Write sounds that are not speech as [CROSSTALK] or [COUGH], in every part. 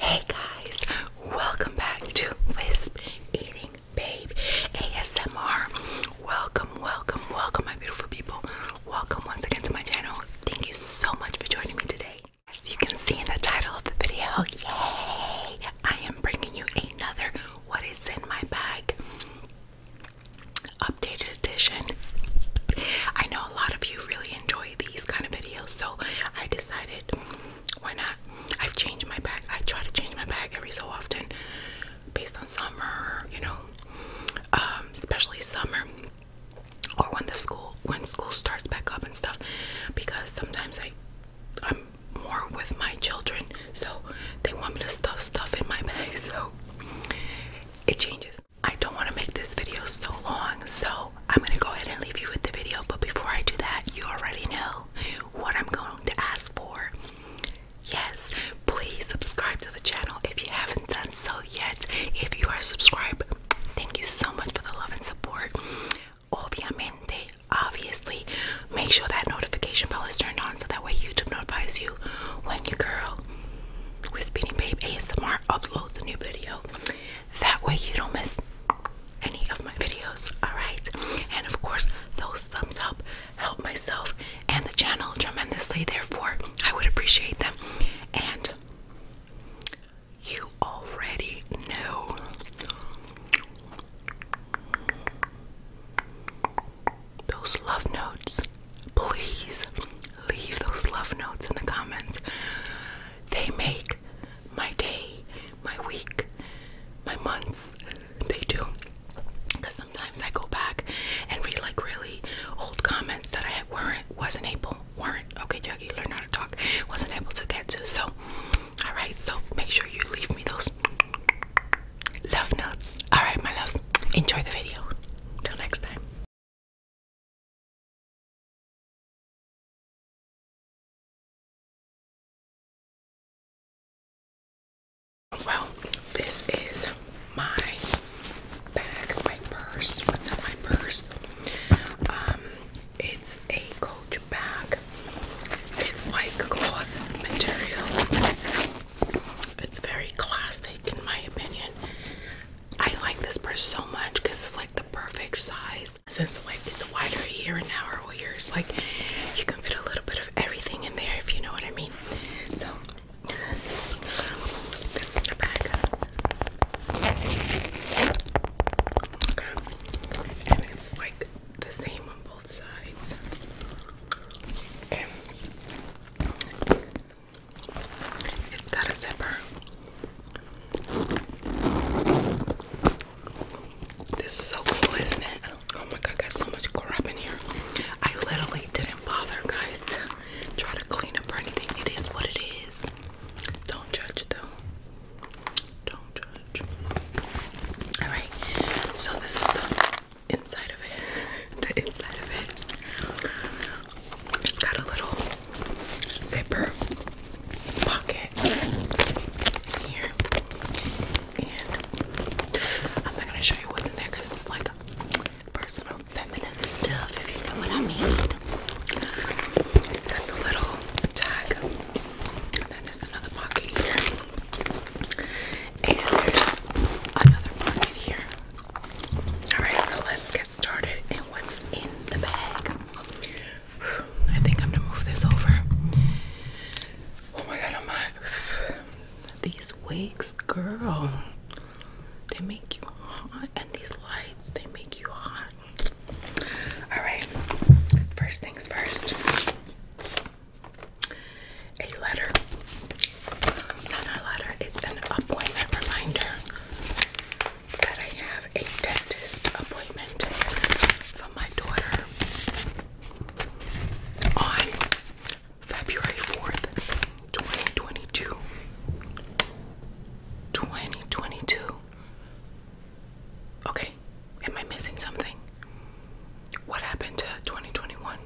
Hey guys, welcome back to Wisp Eating Babe ASMR. Welcome, welcome, welcome, my beautiful people. Welcome once again to my channel. Thank you so much for joining me today. As you can see in the title of the video, yay! I am bringing you another What Is In My Bag updated edition. I know a lot of you really enjoy these kind of videos, so I decided why not? I've my bag. I try to change my bag every so often based on summer, you know, um, especially summer or when the school when school starts back up and stuff because sometimes I I'm more with my children so they want me to stuff stuff in my [LAUGHS] bag so it changes. I don't want to make this video so long so I'm gonna go ahead and leave you with the video, but before I do that, you already know what I'm going to ask for. Yes, please subscribe to the channel if you haven't done so yet. If you are subscribed, thank you so much for the love and support. Obviamente, obviously, make sure that notification bell is turned on so that way YouTube notifies you when your girl with Speedy Babe ASMR uploads a new video. That way you don't miss any of my videos. Alright? And of course, those thumbs up help myself and the channel tremendously. Therefore, I would appreciate them. And you already know. Those love notes, please leave those love notes in the comments. They make my day, my week, my months. They do. Because sometimes I go back and read like really old comments that I weren't, wasn't able, weren't, okay, Jackie, learn how to talk, wasn't able to get to. So, all right, so make sure you leave me those love notes. All right, my loves, enjoy the video. Till next time. Well, this is my bag, my purse. What's in my purse? Um, it's a coach bag. It's like cloth material. It's very classic, in my opinion. I like this purse so much because it's like the perfect size since like it's wider here and now, or here, it's like you can fit a little bit of everything in there if you know what I mean. So this is the bag. And it's like the same on both sides. And it's got a zipper. This is so cool, isn't it? Oh my god, I got so much crap in here. I literally didn't bother, guys, to try to clean up or anything. It is what it is. Don't judge, though. Don't judge. Alright, so this is the inside of it. [LAUGHS] The inside of it. It's got a little zipper pocket here. And I'm not gonna show you what's in there it's like personal feminine stuff, if you know what I mean. It's got the little tag. And then there's another pocket here. And there's another pocket here. Alright, so let's get started and what's in the bag. I think I'm gonna move this over. Oh my god, I'm hot. These wigs, girl, they make you hot, and these lights, they make you hot. Alright, first things first. A letter. Not a letter, it's an appointment reminder that I have a dentist appointment for my daughter on February 4th, 2022. 2022. Okay, am I missing something? What happened to 2021?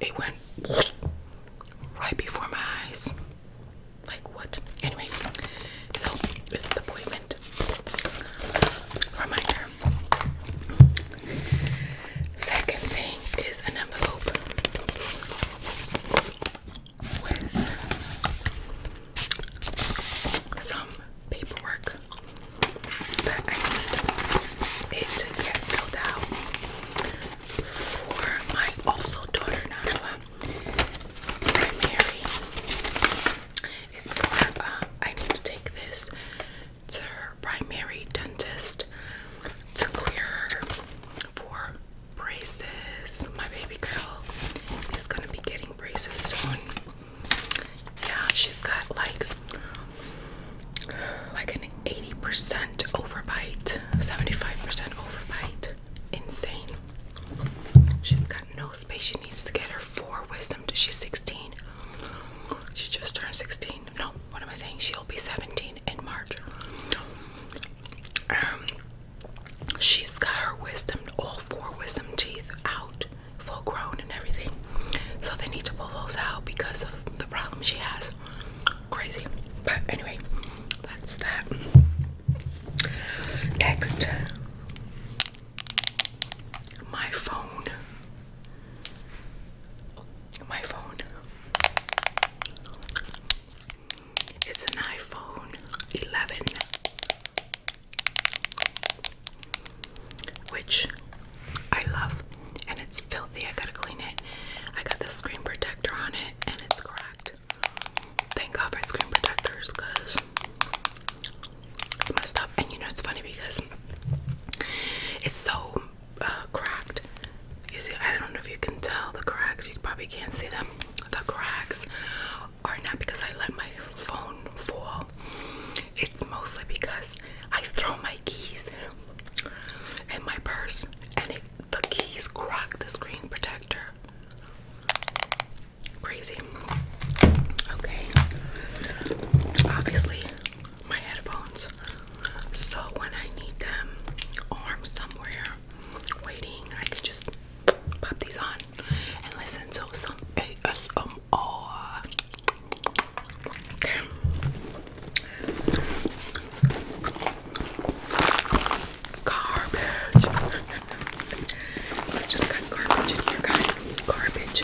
It went right before my eyes. Like what? Anyway, so this is the appointment reminder. Second thing is an envelope with some paperwork that I need it to get filled out for my also daughter Najwa primary. It's for, I need to take this to her primary dentist to clear for braces. My baby girl is gonna be getting braces soon. Yeah, she's got like like an 80% overbite, 75% overbite insane. She's got no space. She needs to get her four wisdom. She's 16. She just turned 16. No, what am I saying? She'll be 17 in March. Um, she's got her wisdom, all four wisdom teeth out, full grown and everything. So they need to pull those out because of the problem she has. Crazy. But anyway, that's that. Next, my phone. My phone. It's an iPhone 11, which I love, and it's filthy. I gotta clean it. I got the screen protector on it, and it's cracked. Thank God for screen protectors because it's messed up. And you know, it's funny because it's so uh, cracked. You see, I don't know if you can tell the cracks. You probably can't see them. The cracks are not because I let my phone fall. It's mostly because I throw my keys in my purse and it, the keys crack the screen protector. Crazy. Okay. Obviously, my headphones. So when I need them or somewhere waiting, I can just pop these on and listen to some ASMR. Okay. Garbage. I just got garbage in here, guys. Garbage.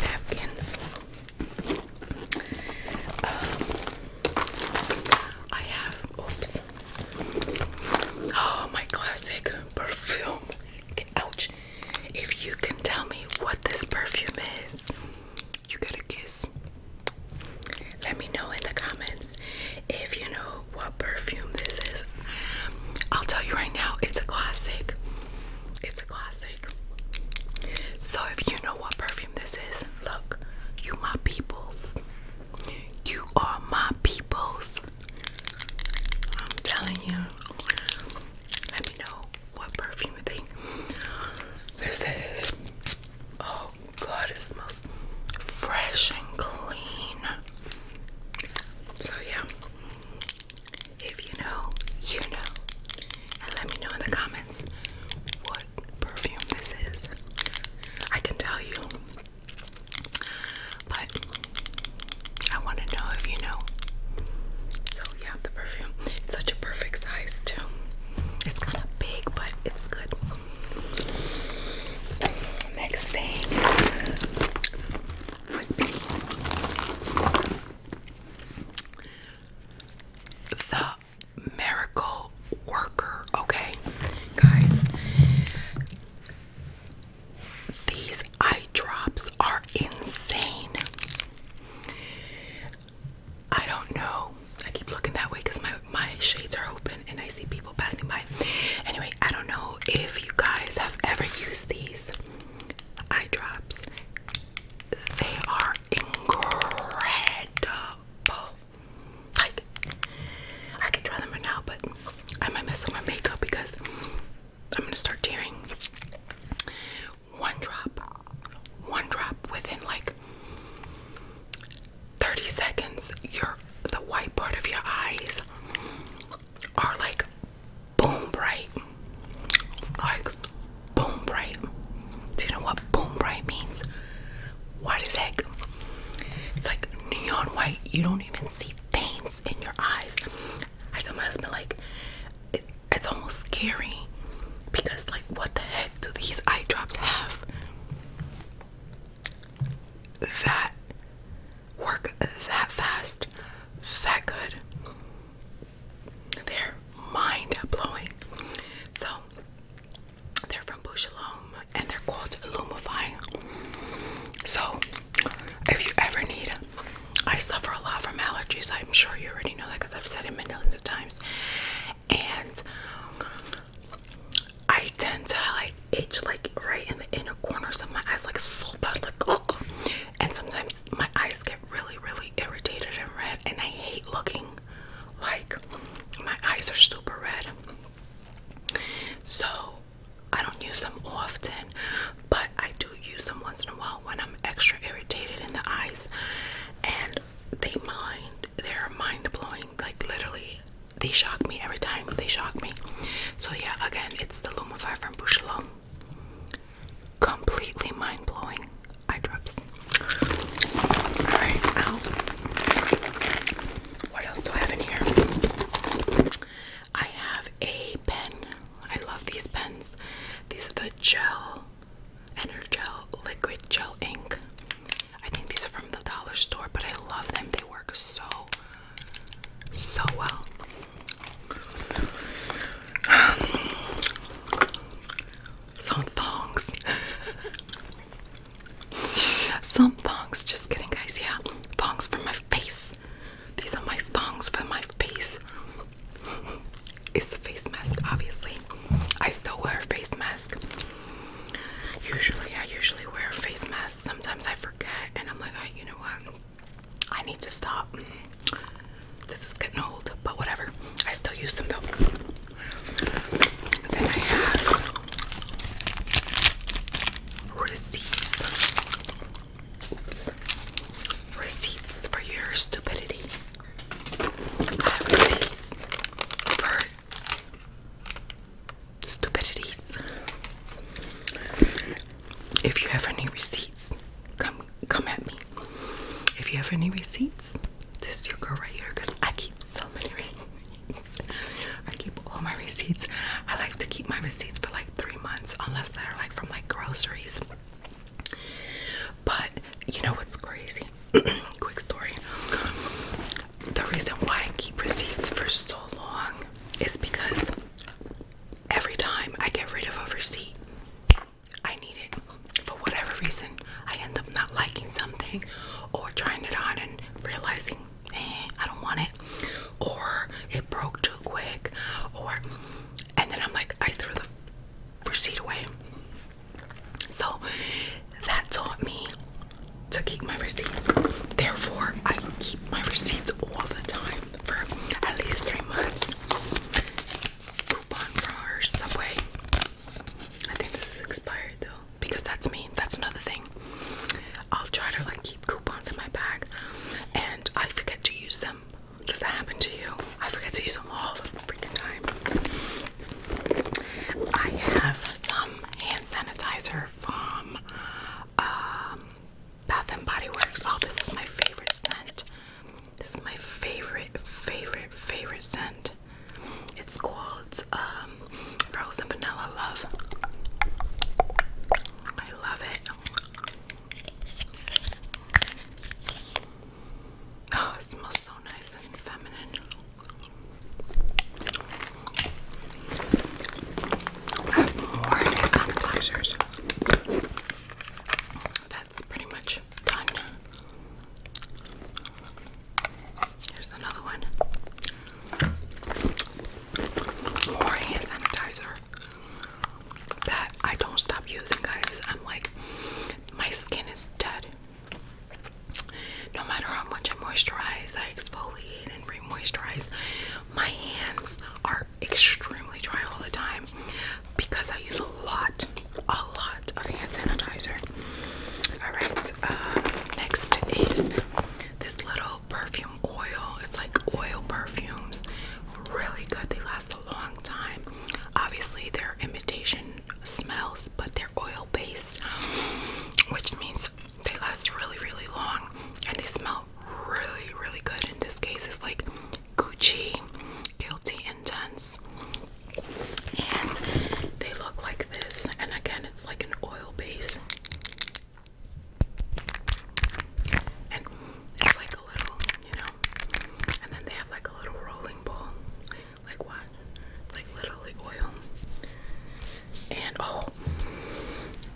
Napkins. Um, I have, oops. Oh, my classic perfume. ouch. If you can tell me what this perfume is, you get a kiss. Let me know in the comments if you know what perfume this is. I'll tell you right now, it's a classic. It's a classic. So if you know what perfume this is, look, you my peoples. You are my peoples. I'm telling you. Let me know what perfume you think this is. Oh God, it smells fresh and clean. So, yeah, if you know, you know, and let me know in the comments what perfume this is. I can tell you, but I want to know if you know. So, yeah, the perfume, it's such a perfect size, too. It's kind of big, but it's good. Next thing the miracle worker. Okay, guys, these eye drops are insane. I don't know I keep looking that way because my my shades are open and I see people passing by. Anyway, I don't know if you guys have ever used these eye drops. They are incredible. Like I can try them right now, but I might mess up my makeup because I'm gonna start tearing. One drop, one drop within like 30 seconds, your the white part of your eyes are like boom bright. Like boom bright. Do you know what boom bright means? What is heck? It's like neon white. You don't even see veins in your eyes. I tell my husband like it's almost scary because like what the heck do these eye drops have? that work that fast, that good. They're mind blowing. So they're from Bouchelome and they're called Lumify. So if you ever need, I suffer a lot from allergies. I'm sure you already know that because I've said it millions of times. And I tend to like itch like right in the inner corners of my eyes, like so bad, like ugh. and sometimes my eyes get really, really irritated and red, and I hate looking like my eyes are super red. So I don't use them often, but I do use them once in a while when I'm extra irritated in the eyes, and they mind. They're mind blowing. Like literally, they shock me every time. They shock me. So yeah, again, it's the Lumify from Bouchelon. Completely mind-blowing eye drops. Alright, now what else do I have in here? I have a pen. I love these pens. These are the gel, Energel liquid gel ink. I think these are from the dollar store, but I love them. They work so, so well. [SIGHS] Some thongs. [LAUGHS] Some thongs. Just kidding, guys. Yeah, thongs for my face. These are my thongs for my face. [LAUGHS] It's the face mask, obviously. I still wear a face mask. Usually, I usually wear face masks. Sometimes I forget, and I'm like, oh, you know what? I need to stop. This is getting old, but whatever. I still use them though. Then I have receipts. Receipts for your stupidity. I have receipts for stupidities. If you have any receipts, come come at me. If you have any receipts, this is your girl right here because I keep so many [LAUGHS] receipts. I keep all my receipts. I like to keep my receipts for like three months unless they're like from like groceries. But you know what's crazy? [COUGHS] quick story. The reason why I keep receipts for so long is because every time I get rid of a receipt, I need it. For whatever reason, I end up not liking something or trying it on and realizing, eh, I don't want it. Or it broke too quick. Or, and then I'm like, I threw the receipt away. So that taught me to keep my receipts. Therefore, I keep my receipts all the time for at least three months. Coupon for our Subway. I think this is expired though, because that's me. That's another thing. I'll try to like keep coupons in my bag, and I forget to use them. Does that happen to you? I forget to use them all the freaking time. I have some hand sanitizer from um, Bath and Body Works. Oh, this is my favorite scent. This is my favorite, favorite, favorite scent. It's called um, Rose and Vanilla Love. I love it. Oh, it smells so nice and feminine have more sanitizers. That's pretty much done. Here's another one. More hand sanitizer that I don't stop using, guys. I'm like, my skin is dead no matter how much I moisturize, I exfoliate and re-moisturize, my hands are extremely dry all the time because I use a lot, a lot of hand sanitizer. Alright, uh, next is this little perfume oil. It's like oil perfumes. Really good. They last a long time. Obviously, they're imitation smells, but their oil oil which means they last really, really long and they smell really, really good. In this case, it's like Gucci, Guilty Intense, and they look like this. And again, it's like an oil base, and it's like a little, you know, and then they have like a little rolling ball like what? Like literally oil. And oh,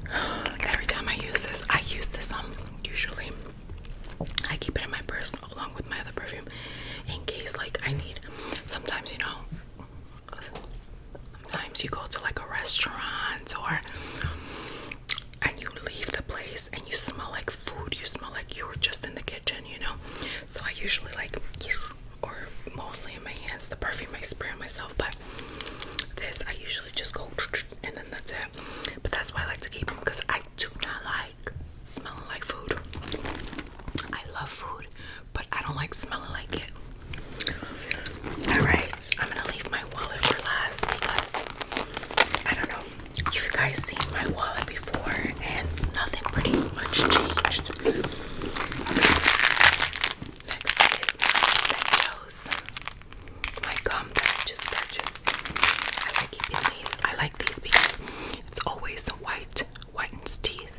[SIGHS] every time I use this, I use this um usually. I keep it in my purse along with my other perfume in case like I need sometimes you know sometimes you go to like a restaurant or and you leave the place and you smell like food you smell like you were just in the kitchen you know so I usually like or mostly in my hands. The perfume I spray on myself, but this I usually just go and then that's it. But that's why I like to keep them because I do not like smelling like food. I love food, but I don't like smelling like it. Alright, I'm gonna leave my wallet for last because I don't know. You guys seen my wallet before and nothing pretty much changed. Next is Benjo's. My gum that I just purchased. I like keeping these. I like these because it's always white, whitens teeth.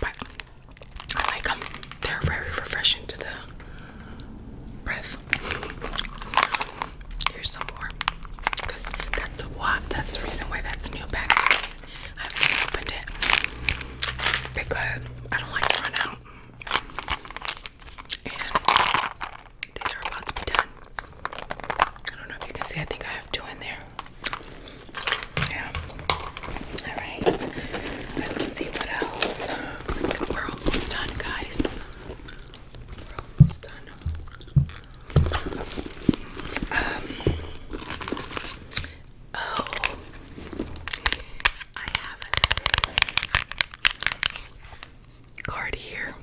But I like them. They're very refreshing to the breath. Here's some more. Because that's why that's the reason why that's new packaging. I haven't opened it. Because I don't like to run out. And these are about to be done. I don't know if you can see, I think I have two in there. Yeah. Alright. Let's see what else. We're almost done, guys. We're almost done. Um, oh, I have this card here,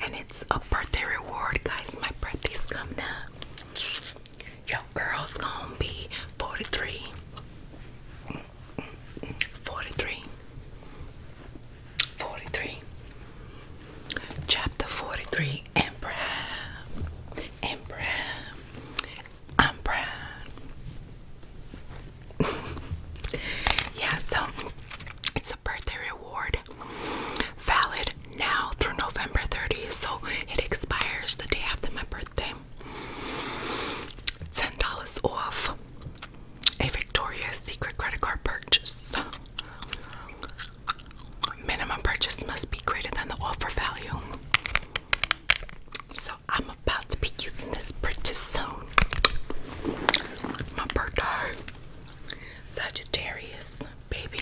and it's a birthday reward, guys. My birthday's coming up. Your girl's gonna be 43. 43. 43 chapter 43 emperor emperor emperor yeah so it's a birthday reward valid now through november 30th so it expires the day after my birthday $10 off a victoria's secret credit card purchase Minimum purchase must be greater than the offer value. So I'm about to be using this pretty soon. My birthday. Sagittarius, baby.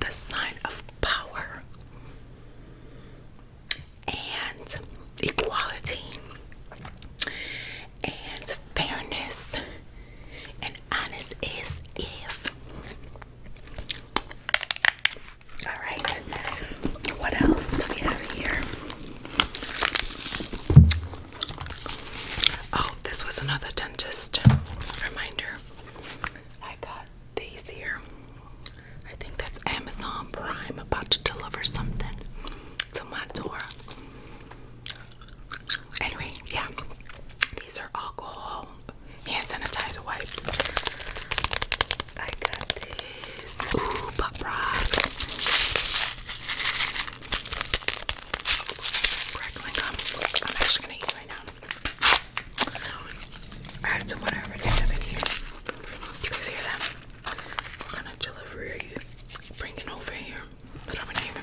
The sign of power and equality and fairness and honesty. is if. Alright, what else do we have here? Oh, this was another dentist reminder. I got these here. I think that's Amazon Prime about to deliver something to my door. Anyway, yeah. These are alcohol hand sanitizer wipes. I got this. Ooh, pop rocks. Crackling gum. I'm actually gonna eat right now. I had some water already in here. You guys hear that? What kind of delivery are bringing over here? It's not even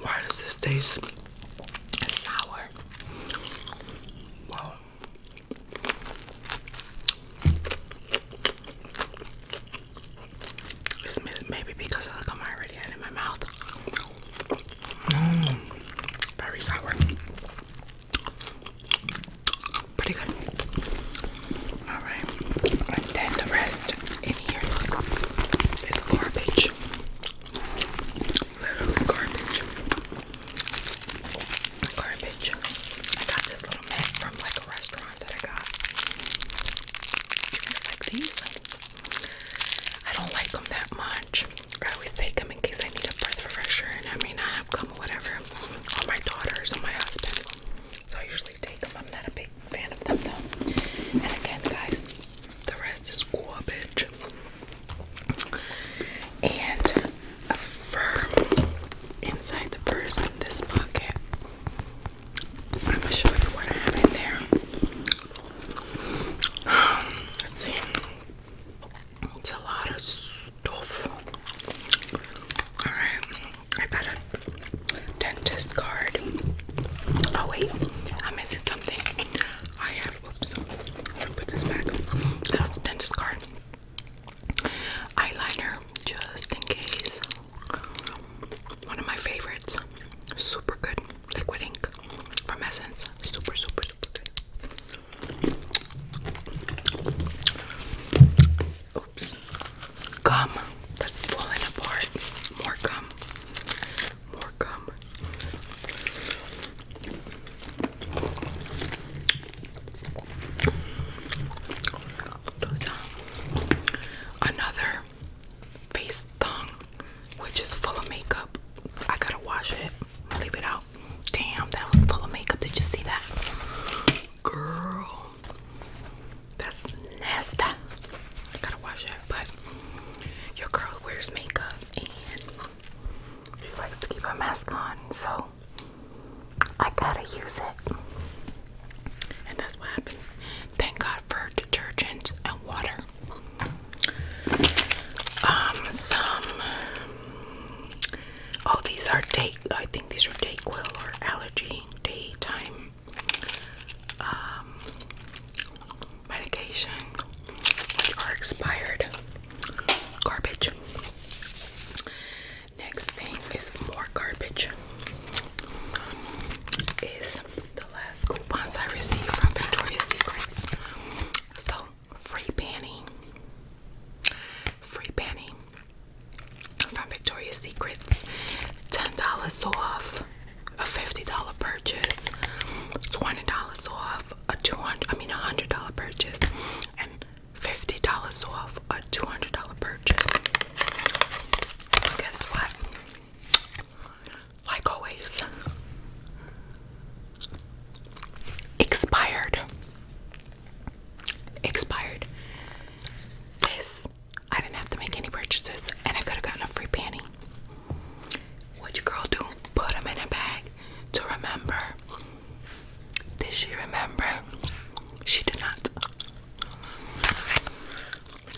Why does this taste sour? Whoa maybe because of the gum I already had in my mouth. Mm. very sour. Pretty good. Alright. And then the rest in here is garbage. Literally garbage. Garbage. I got this little mat from like a restaurant. I don't like them that much. I always take them in case I need a breath freshener, and I mean I have come or whatever on my daughters on my husband. So I usually take them. I'm not a big fan of them though. And again, guys, the rest is garbage. And a firm inside the purse in this pocket. I'm gonna show you what I have in there. Um, let's see. It's a lot of stuff. Alright, I got a dentist card. Oh wait, I'm missing something. I have whoops. Let me put this back. That's the dentist card. Eyeliner, just in case. One of my favorites. Super good. Liquid ink from Essence. Super, super, super good. Oops. Gum that's falling apart. More gum. More gum. Another face thong, which is full of makeup. I gotta wash it, leave it out. Damn, that was full of makeup. Did you see that? Girl, that's nasty. I gotta wash it, but your girl wears makeup and she likes to keep her mask on, so I gotta use it. And that's what happens. Thank God for detergent and water. Um, some. Oh, these are day. I think these are Dayquil or allergy daytime um, medication, are expired. Garbage. Next thing is more garbage is the last coupons I received from Victoria's Secrets. So, free panty. Free panty from Victoria's Secrets. $10 off a $50 purchase. $20 off a 200 I mean a $100 purchase and $50 off a $200 purchase. Guess what? like always, expired. Expired. This, I didn't have to make any purchases and I could have gotten a free panty. What you girl do? Put them in a bag to remember. Did she remember? She did not.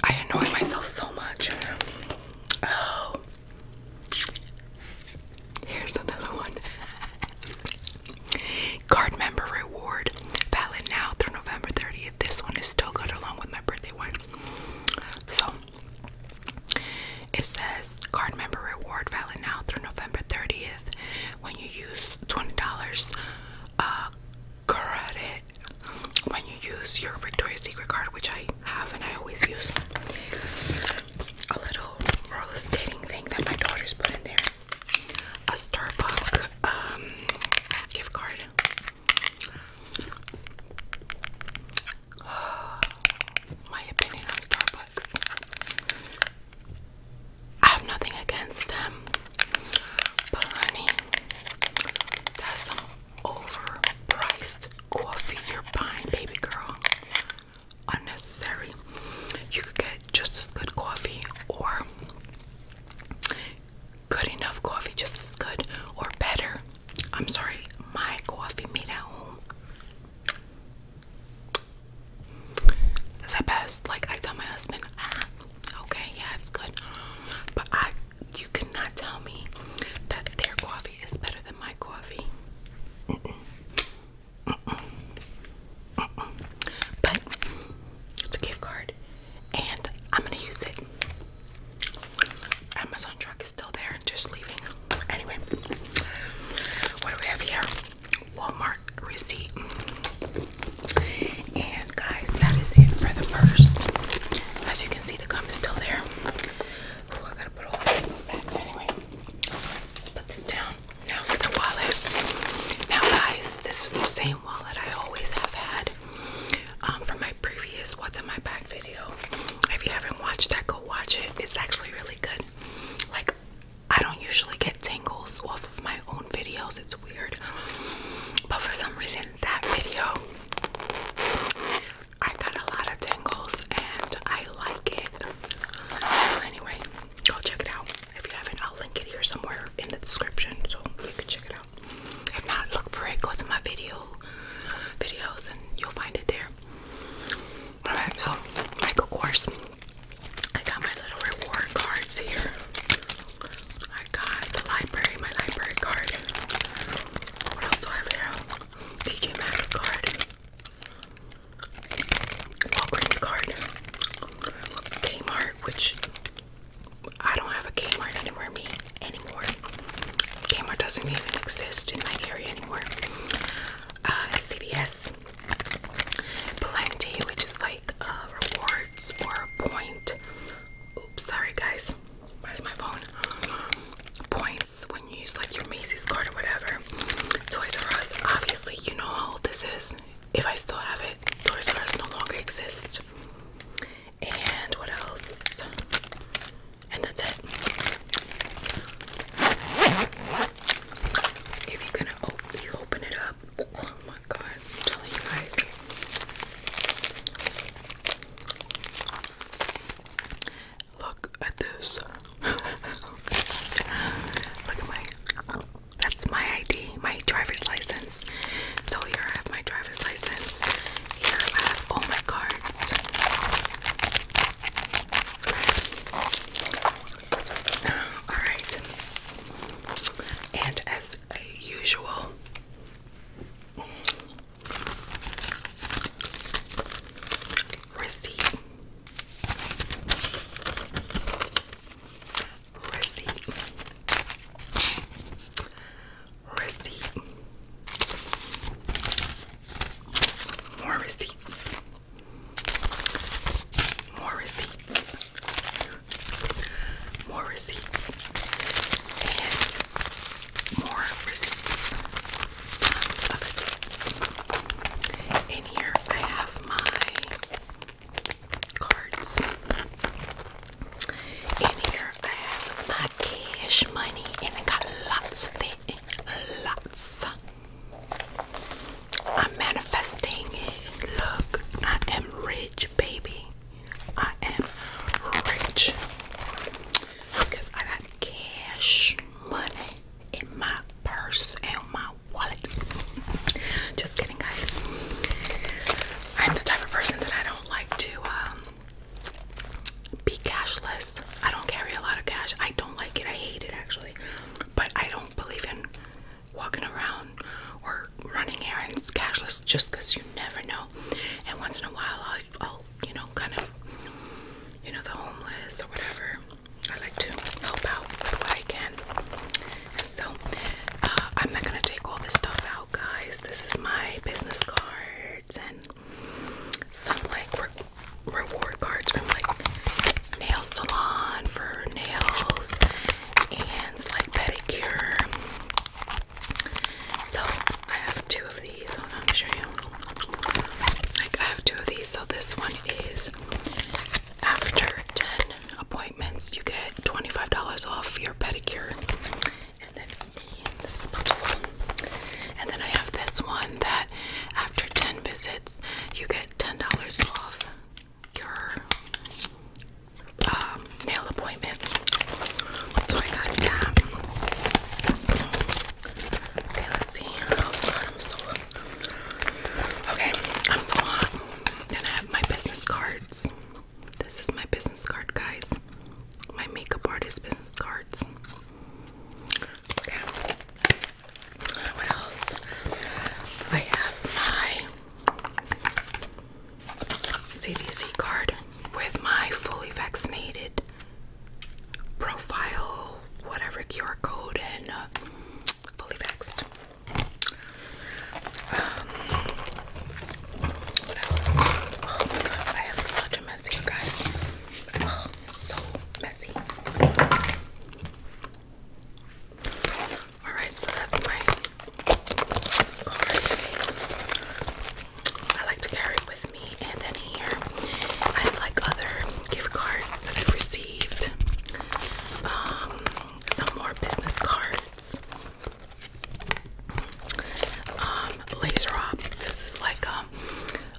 I annoy myself so much. Oh. Here's another one. Card member reward. Valid now through November 30th. This one is still good along with my birthday one. So it says card member reward valid now through November 30th. When you use $20 uh, credit when you use your Victoria's Secret card, which I have and I always use, a little roller skating thing that my daughters put in there, a Starbucks um, gift card. [SIGHS] my opinion on Starbucks. I have nothing against them. But honey, that's some overpriced coffee you're buying, baby girl. Unnecessary. You could get just as good coffee or good enough coffee, just as good or better. I'm sorry, my coffee made at home. The best, like I tell my husband, ah, Okay, yeah, it's good. But I you cannot tell me that their coffee is better than my coffee. But it's a gift card and I'm gonna use it. Amazon truck is still there just leaving. Anyway, what do we have here? Walmart receipt. And guys, that is it for the purse. As you can see, the gum is still there. Oh, I gotta put all the gum back anyway. Put this down. Now for the wallet. Now, guys, this is the same wallet I always have had um, from my previous What's in My Bag video. If you haven't watched that, go watch it. It's actually really good. Like, I don't usually get tangles off of my own videos. It's weird. But for some reason, that video, I got a lot of tangles and I like it. So, anyway, go check it out. If you haven't, I'll link it here somewhere in the description so you can check it out. If not, look for it, go to my video videos and you'll find it there. Alright, so Michael Kors. I got my little reward cards here. I got the library, my library card. What else do I have here? TJ Maxx card. Walgreens card. Kmart, which I don't have a Kmart anywhere me anymore. Kmart doesn't even exist in my area anymore. CVS. Uh, Plenty, which is like uh, rewards or a Oops, sorry guys. Where's my phone? Points when you use like your Macy's card or whatever. Toys R Us, obviously, you know how old this is. If I still have it, Toys R Us no longer exists. And what else? And that's it. If you're gonna open, it up. Oh I'm telling you guys. Look at this. [LAUGHS] Look at my that's my ID, my driver's license. So here I have my driver's license. Here I have all my cards. Alright. And as usual, Receipt. Receipt. Receipt. More receipts. More receipts more receipts and more receipts. Tons of receipts. In here I have my cards. In here I have my cash money and I got lots of it. Lots. I'm manifesting it. Look, I am rich, baby. I am rich because I got cash money in my purse and my wallet. Just kidding, guys. I'm the type of person that I don't like to um, be cashless. I don't carry a lot of cash. I don't like it. I hate it actually. But I don't believe in walking around or running errands cashless just you never know. And once in a while, I'll, you know, kind of, you know, the homeless or whatever. I like to help out with what I can. so, uh, I'm not gonna take all this stuff out, guys. This is my business cards and some like reward cards from like nail salon for nails and like pedicure. So I have two of these. I'll show you. Like I have two of these. So this one is after 10 appointments, you get $25 off your pedicure. And then and then I have this one that after 10 visits you get $10 off your um, nail appointment. Okay, let's see. Okay, I'm so hot. Then I have my business cards. This is my business card, guys. My makeup artist business cards. Okay. What else? I have my CDC card with my fully vaccinated profile, whatever QR code, and uh, fully vaxxed. Um, what else? Oh my god, I have such a mess here, guys. so messy. Alright, so that's my card. I like to carry with me. And then here I have like other gift cards that I've received. Um, some more business cards. Um, laser ops. This is like um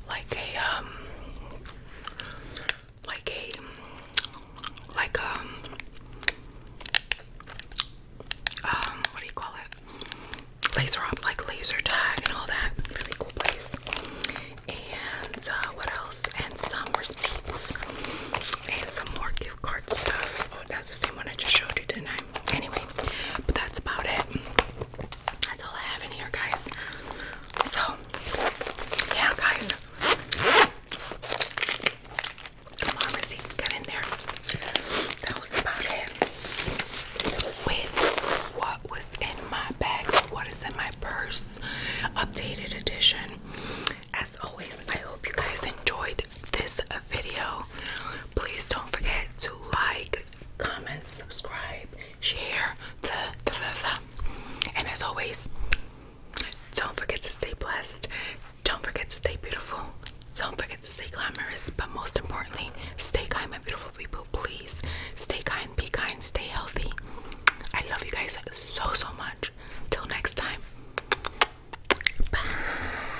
like a um like a like um um what do you call it laser like laser tag and all that really cool place and uh, what else and some receipts and some more gift card stuff oh that's the same one I just showed you tonight. anyway but that's about it that's all I have in here guys so yeah guys Come on, receipts got in there. That was about it. With what was in my bag, what is in my purse, updated edition. As always, I hope you guys enjoyed this video. Please don't forget to like, comment, subscribe, share, and as always, don't forget to stay blessed. Don't forget to stay beautiful. Don't forget to stay glamorous. But most importantly, stay kind, my beautiful people. Please stay kind, be kind, stay healthy. I love you guys so, so much. Till next time. Bye.